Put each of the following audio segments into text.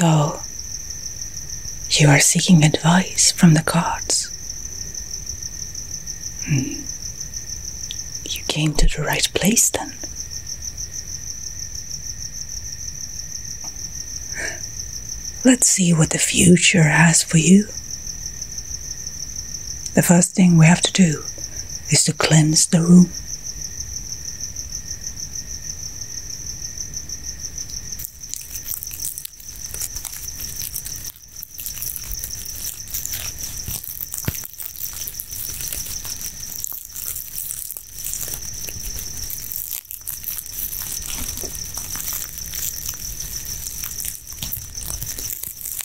So, you are seeking advice from the gods. Hmm. You came to the right place then. Let's see what the future has for you. The first thing we have to do is to cleanse the room.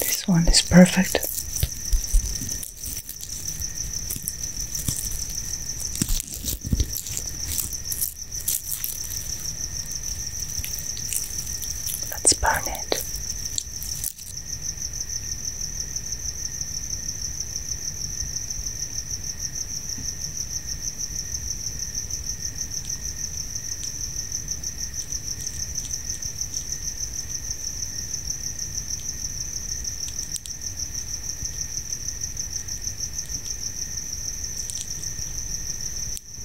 This one is perfect. Let's burn it.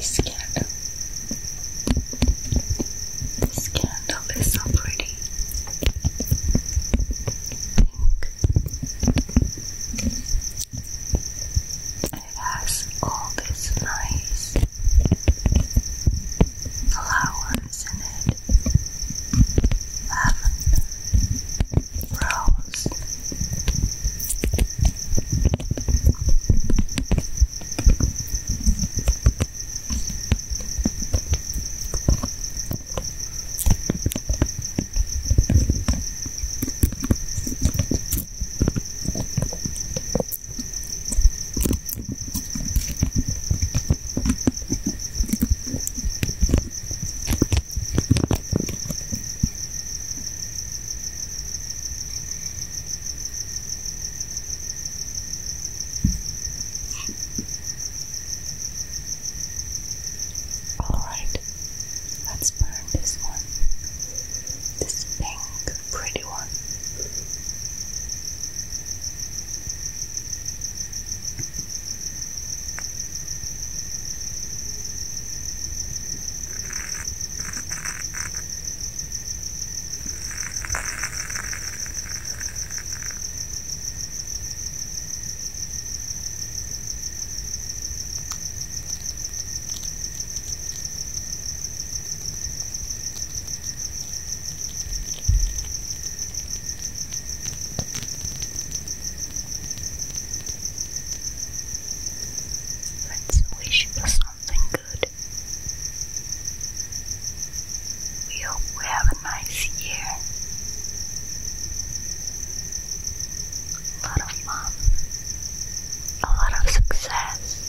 Scandal. Scandal is so pretty. Pink. I it has all these nice flowers in it lavender, rose. All right, let's burn this one. This pink pretty one. Let's wish for something good. We hope we have a nice year. A lot of fun. A lot of success.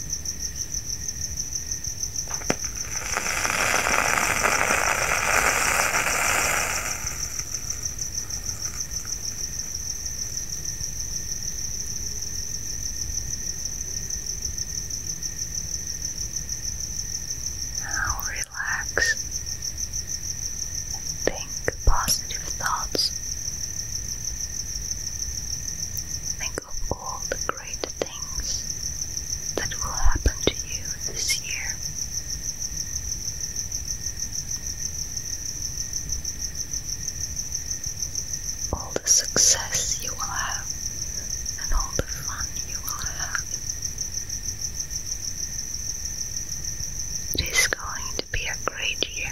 Now relax and think positive thoughts. Think of all the great things that will happen to you this year. All the success you will have and all the fun you will have. It is going It'll be a great year.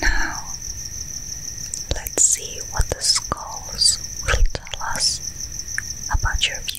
Now, let's see what the skulls will tell us about your future.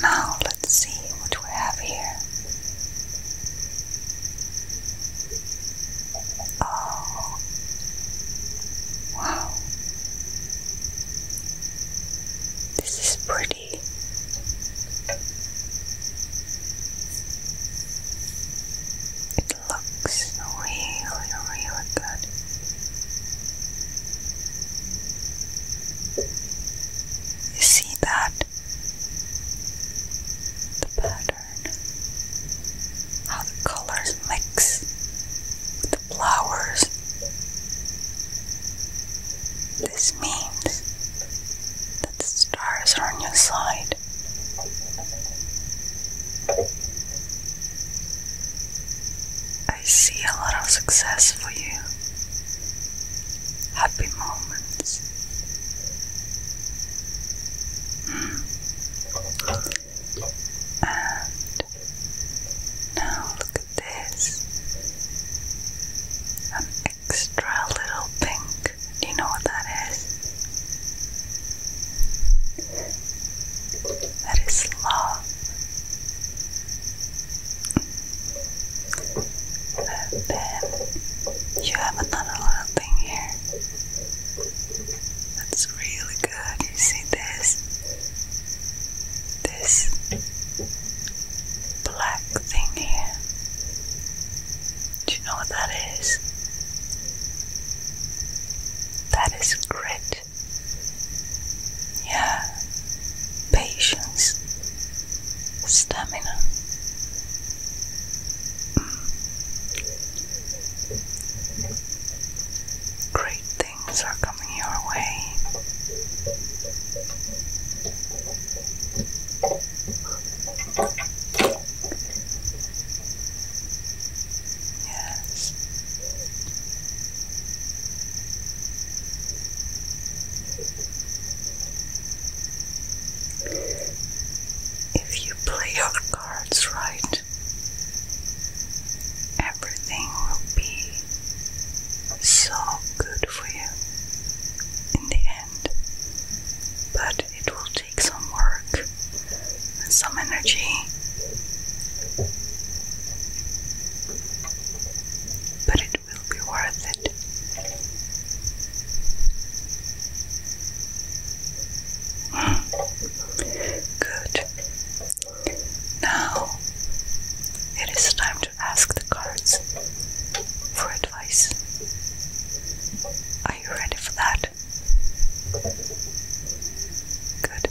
Now let's see what we have here. Oh, wow, this is pretty. It looks really, really good. You see that? The pattern, how the colors mix the flowers. This means that the stars are on your side. I see a lot of success for you, happy moments. Mm. And now look at this. An extra little pink. Do you know what that is? That is love. And then you have another little thing here. That's really good. You see this? This black thing here. Do you know what that is? That is grit. Yeah. Patience. Stamina. Mm. Great things are coming your way. Yes. If you play your cards right, Everything will be so good for you in the end, but it will take some work and some energy. But it will be worth it. Hmm. Good. Now it is time to ask the cards for advice. Are you ready for that? Good.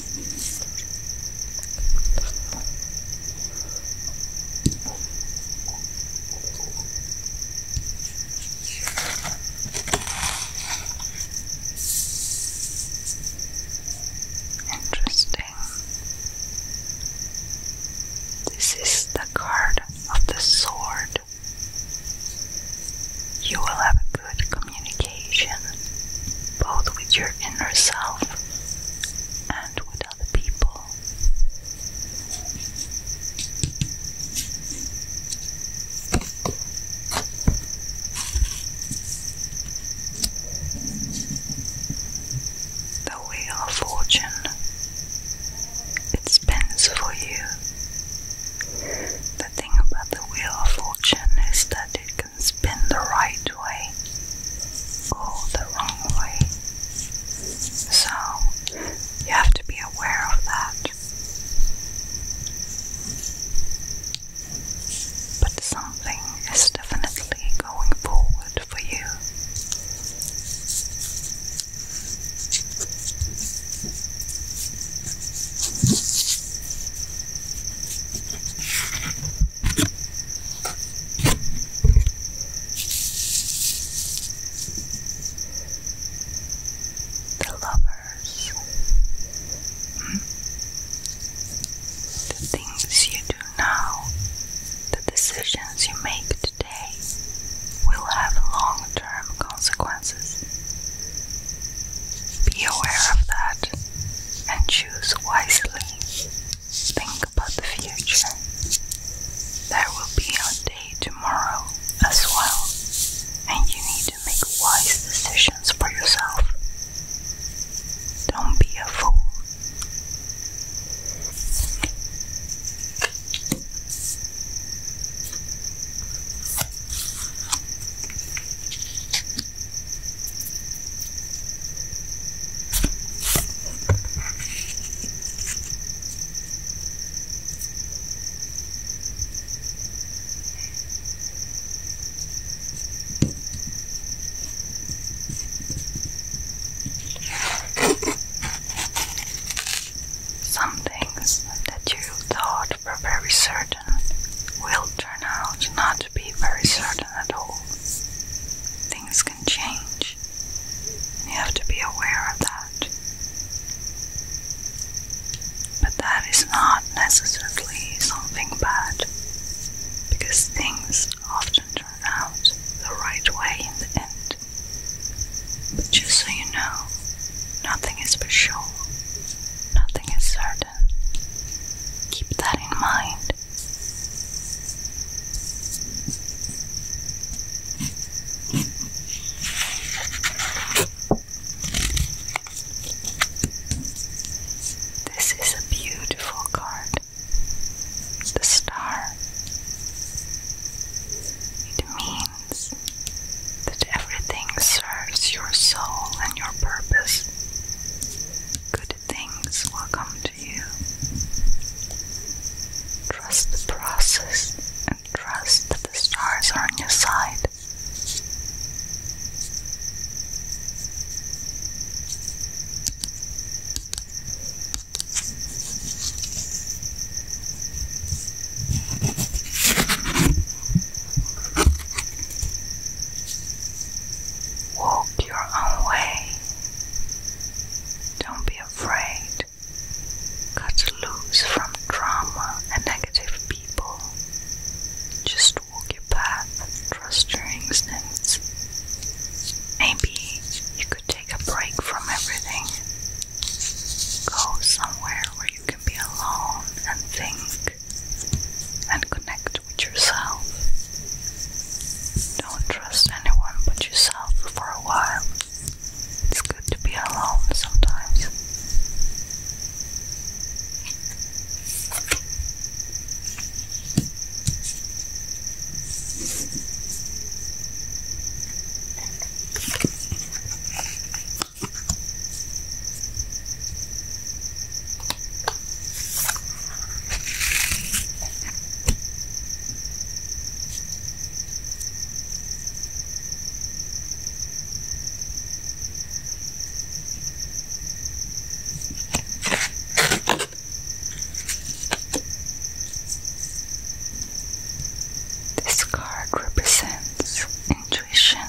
Interesting. This is the card of the sword. You will have good communication, both with your inner self and with other people. The wheel of fortune it spins for you. The thing about the wheel of fortune is that it can spin the right way or the wrong way. So you have to be aware of that. But something is definitely going forward for you. The lovers, hmm? the things you do now, the decisions you make today will have long term consequences. Be aware of that and choose wisely. Think about the future. There will be a day tomorrow as well, and you need to make wise decisions for yourself. Don't be a fool. Some things that you thought were very certain will turn out not to be very certain at all. Things can change. You have to be aware of that. But that is not necessarily something bad, because things often turn out the right way in the end. But just so you know, nothing is for sure, nothing is certain. Keep that in mind. This is a beautiful card. The star. It means that everything serves your soul and your purpose. Good things will come to you. Trust the process and trust that the stars are on your side. Walk your own way. Don't be afraid. Cut loose from drama and negative people. Just walk your path, trust your instincts. Maybe you could take a break from everything. Go somewhere where you can be alone and think and connect with yourself. Don't trust anyone but yourself for a while. It's good to be alone sometimes. This card represents intuition,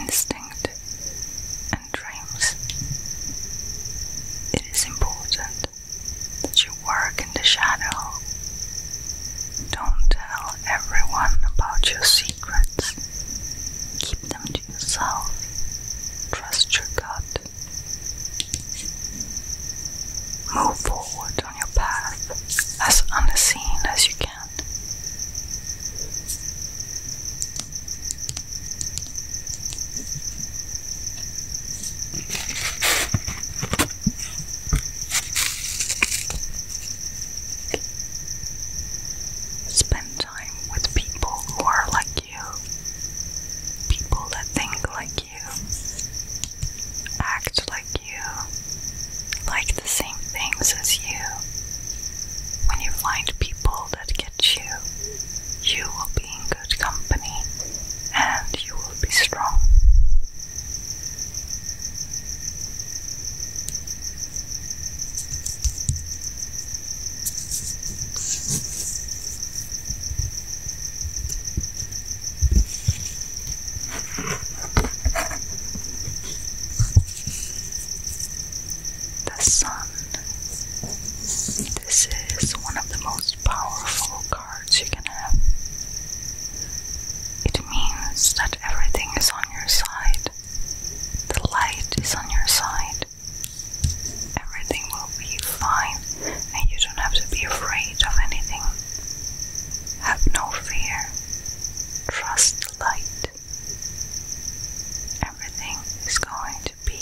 instinct, dreams. It is important that you work in the shadow. Don't tell everyone about your secrets. Keep them to yourself. Trust your gut. Move forward on your path as unseen as you can hand. Spend time with people who are like you, people that think like you, act like you, like the same things as you. When you find people that gets you, you will be in good company and you will be strong the sun. This is one of the most powerful cards you can have. It means that everything is on your side. The light is on your side. Everything will be fine, and you don't have to be afraid of anything. Have no fear. Trust the light. Everything is going to be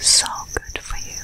so good for you.